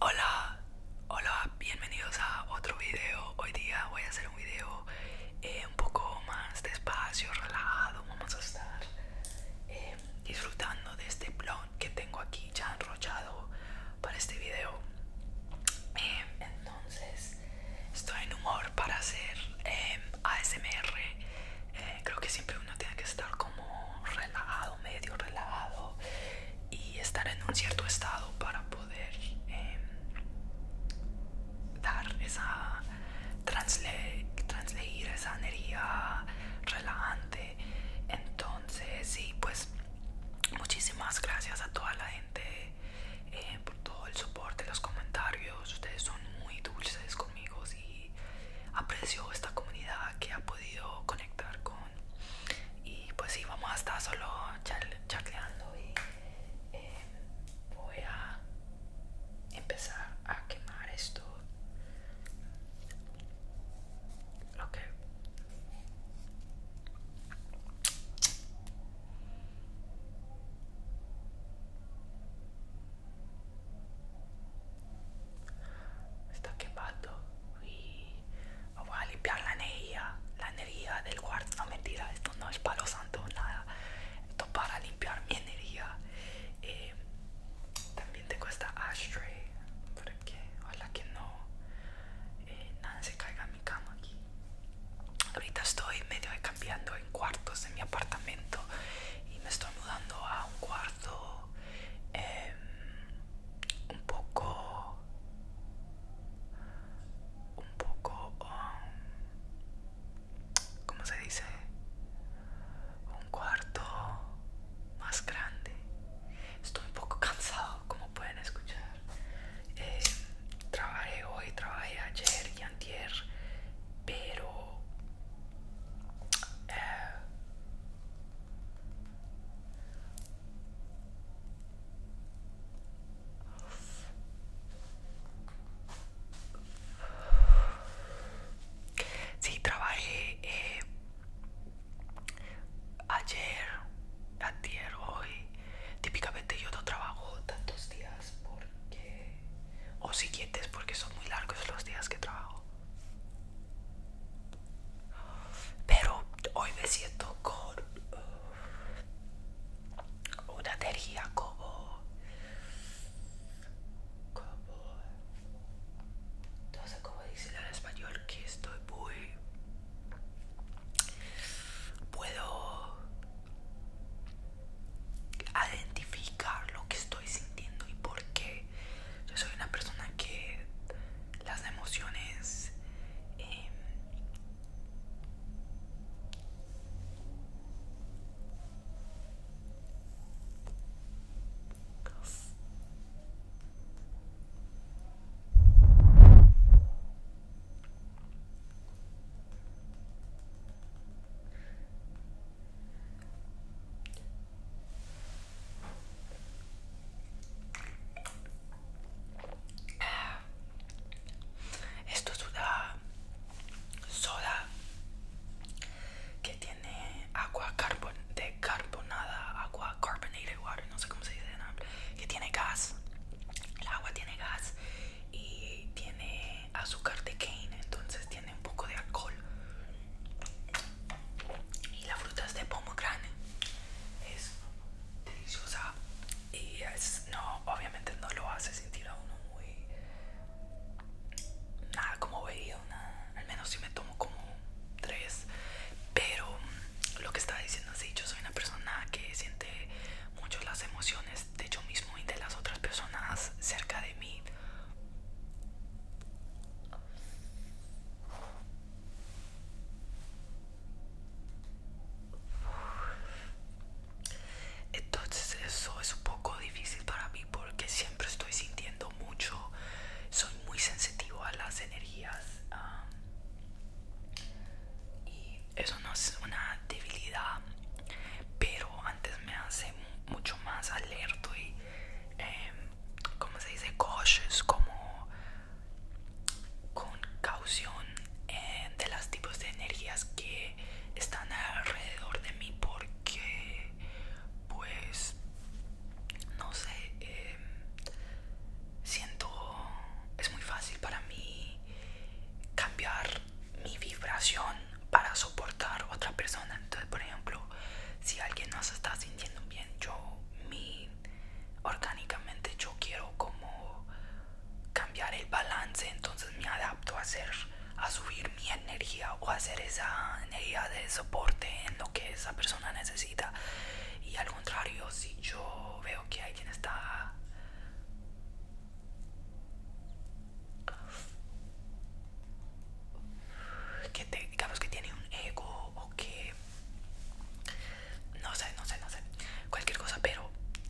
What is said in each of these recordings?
Hola, hola, bienvenidos a otro video. Hoy día voy a hacer un video eh, un poco más despacio, relajado. Vamos a estar eh, disfrutando de este blog que tengo aquí ya enrollado para este video. Eh, entonces, estoy en humor para hacer ASMR. creo que siempre uno tiene que estar como relajado, medio relajado y estar en un cierto estado para poder em, dar esa transle esa energía relajante entonces sí pues muchísimas gracias a toda la gente eh, por todo el soporte los comentarios ustedes son muy dulces conmigo y aprecio esta comunidad que ha podido conectar con y pues sí, vamos a estar solo charleando y eh, voy a empezar a quemar esto está quemando y voy a limpiar la energía la energía del cuarto no mentira esto no es palo santo nada esto para limpiar mi energía eh, también tengo esta ashtray porque ojalá que no eh, se caiga mi cama aquí ahorita estoy medio cambiando en cuartos en mi apartamento y me estoy mudando a un cuarto Em, un poco un poco um, ¿cómo se dice? un cuarto más grande estoy un poco cansado como pueden escuchar em, trabajé hoy trabajé ayer y antier pero eh, Sí, trabajé eh, ayer, ayer, hoy. Típicamente yo no trabajo tantos días porque... o siguientes porque son muy largos los días que trabajo. Pero hoy me siento con uh, una energía como, como, cómo en español, que estoy muy, puedo identificar lo que estoy sintiendo y por qué yo soy una persona que las emociones em, esto es una soda que tiene agua carbon de carbonada, agua carbonated water, no sé cómo se dice, que tiene gas. El agua tiene gas y tiene azúcar de cane, entonces tiene un poco de alcohol. Y la fruta es de pomegranate, es deliciosa y es, no, obviamente no lo hace sentir a uno muy nada como bebida, al menos si me tomo como tres, pero mm, lo que estaba diciendo es que yo soy una persona que siente mucho las emociones de yo mismo y de las otras personas cerca de mí entonces eso es un poco difícil para mí porque siempre estoy sintiendo mucho, soy muy sensitivo a las energías y eso no es una debilidad, pero antes me hace mucho más alerto y, em, como se dice, coches como con caución eh, de las tipos de energías que están alrededor de mí porque, pues, no sé, em, siento, es muy fácil para mí cambiar mi vibración para soportar otra persona. Entonces, por ejemplo, si alguien no se está sintiendo bien, yo, mi, orgánicamente, yo quiero como cambiar el balance, entonces me adapto a ser, a subir mi energía o hacer esa energía de soporte en lo que esa persona necesita. Y al contrario, si yo veo que alguien está que te, digamos que tiene un ego o que no sé, no sé, no sé, cualquier cosa, pero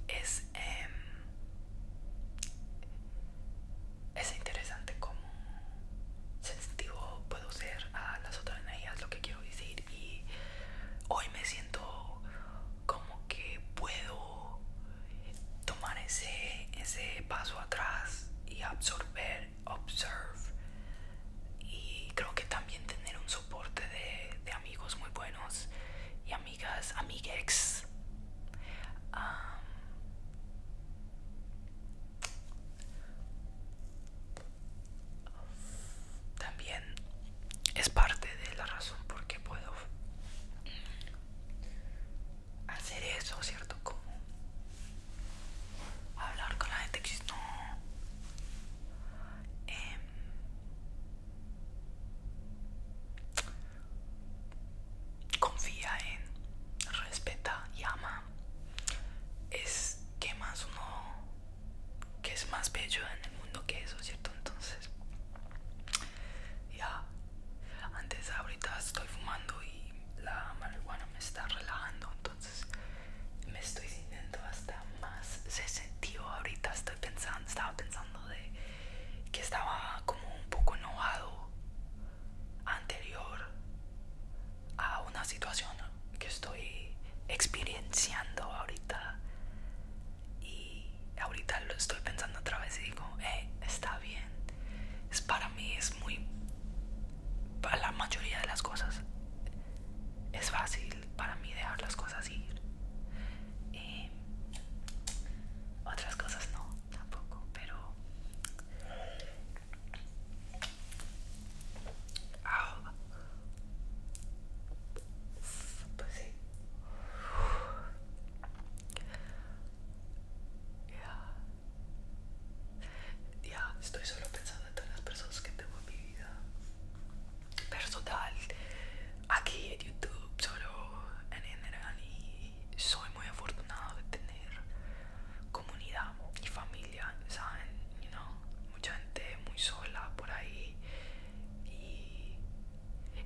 es em, es interesante cómo sensitivo puedo ser a las otras energías, lo que quiero decir y hoy me siento como que puedo tomar ese, paso atrás y absorber, observe y creo que también tener un soporte de, amigos muy buenos y amigas, amigues. también es parte de la razón por qué puedo hacer eso, ¿cierto? Como hablar con la gente que no. Em, confía en, respeta y ama. Es que más uno, que es más bello en el mundo que eso, ¿cierto? Entonces, ya, antes ahorita estoy fumando y la marihuana me está relajando, entonces me estoy sintiendo hasta más sentido ahorita. Estoy pensando, estaba pensando de que estaba como un poco enojado anterior a una situación que estoy experienciando ahorita y ahorita lo estoy pensando otra vez y digo, eh, está bien. Es para mí es muy, para la mayoría de las cosas, es fácil para mí dejar las cosas ir. Y otras cosas no, tampoco, pero... Ah, pues sí. Ya. estoy solo pensando en todas las personas que tengo en mi vida personal aquí en YouTube, solo en general. Y soy muy afortunado de tener comunidad y familia, ¿saben? Mucha gente muy sola por ahí. Y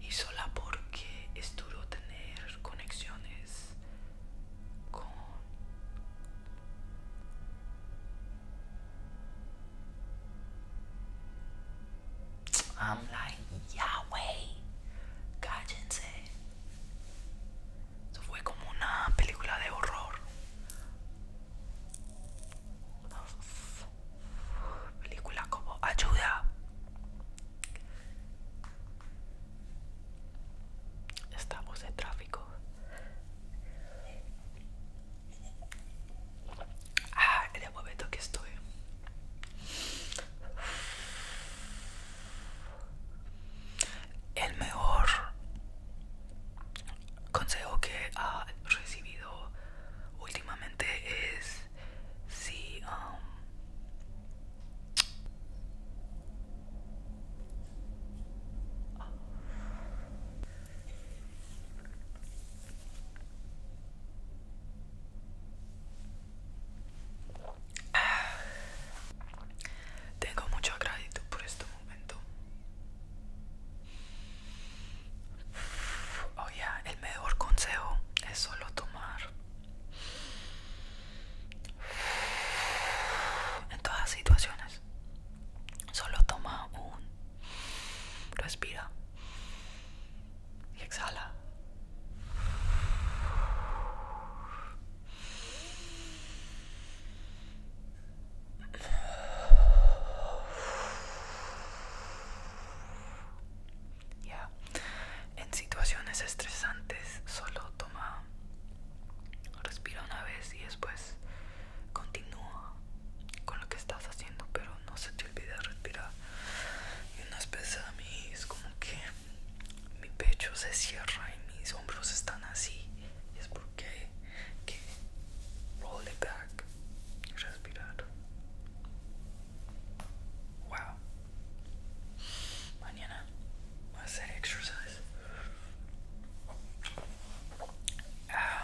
y sola porque es duro tener conexiones con I'm like Yahweh cállense eso fue como una película de horror película como Ayuda. Estamos en tráfico. Ah, el momento que estoy. El mejor consejo que ha recibido últimamente es Sí. Um, tengo mucha gratitud por este momento Oh yeah, el mejor consejo es solo tomar. En todas las situaciones. Solo toma un. Respira. Y exhala. Ya, En situaciones estresantes solo toma, respira una vez y después continúa con lo que estás haciendo, pero no se te olvide respirar. Y unas veces a mí es como que mi pecho se cierra y mis hombros están así. Y es porque कि roll it back, just be that. Wow. Mañana voy a exercise. Um, yeah.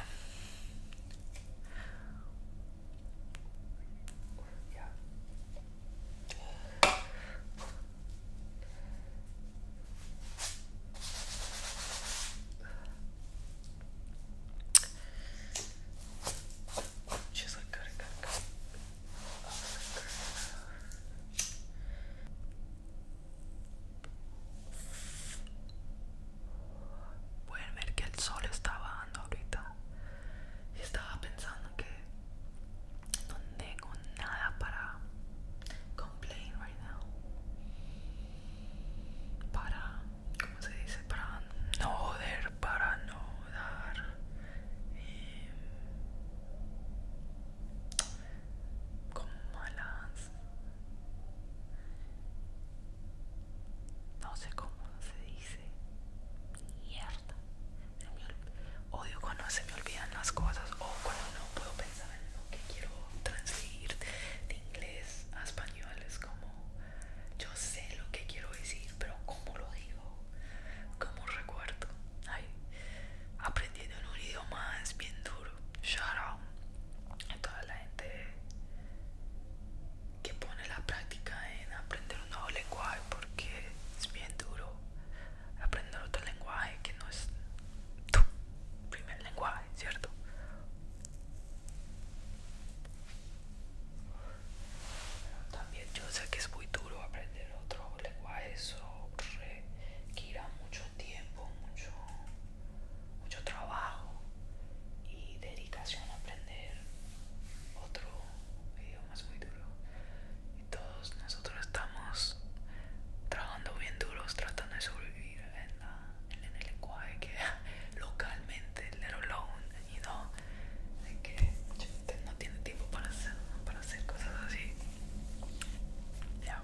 Pueden ver que el sol está bajando ahorita. Y estaba pensando que no tengo nada para complain right now. Para ¿cómo se dice? Para no joder, para no dar em, como malas no sé cómo se dice mierda odio cuando se me olvidan las cosas o cuando no puedo pensar en lo que quiero transmitir inglés a español es como yo sé lo que quiero decir pero como lo digo como recuerdo aprendiendo un idioma es bien duro shout a toda la gente que pone la práctica en aprender un nuevo lenguaje porque es bien duro aprender otro lenguaje que no es tu primer lenguaje, ¿cierto? También yo sé que es muy duro aprender otro lenguaje, eso requiere mucho tiempo, mucho, mucho trabajo y dedicación a aprender otro idioma es muy duro. Y todos nosotros estamos trabajando bien duros tratando de sobrevivir en la en el lenguaje que localmente, let alone, you know, de que usted no tiene tiempo para hacer, para hacer cosas así. Ya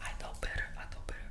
I know better, I know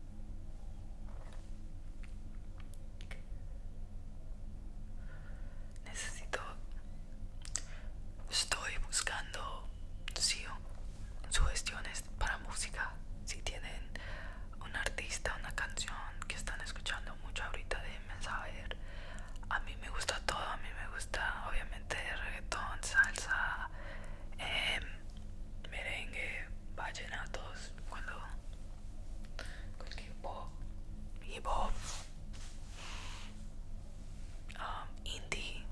Necesito... Estoy buscando sí, sugestiones para música. Si tienen un artista, una canción que están escuchando mucho ahorita, déjenme saber. A mí me gusta todo, a mí me gusta obviamente reggaetón, salsa, em, merengue, vallenatos, cuando con que hip hop, um, indie,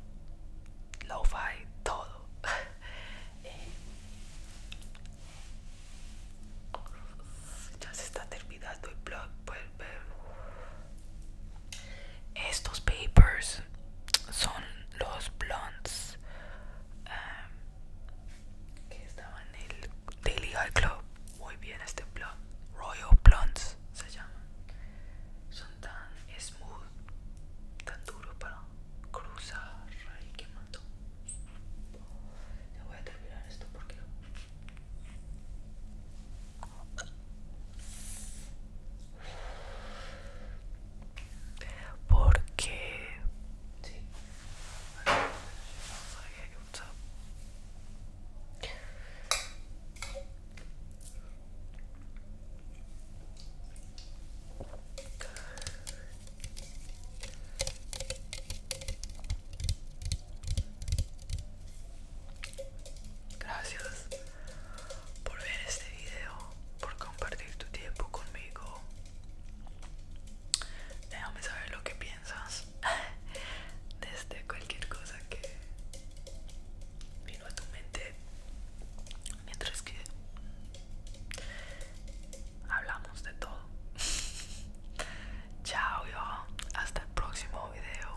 lo-fi, todo. Eh, ya se está terminando el blog, pues, pues. Estos papers son los blondes um, que estaban en el Daily High Club. Muy bien, este blog Royal Blondes se llaman. Son tan smooth, tan duro para cruzar. y que Ya voy a terminar esto porque. Porque... Sí. Gracias por ver este video, por compartir tu tiempo conmigo. Déjame saber lo que piensas desde cualquier cosa que vino a tu mente mientras que hablamos de todo. Chao yo, hasta el próximo video.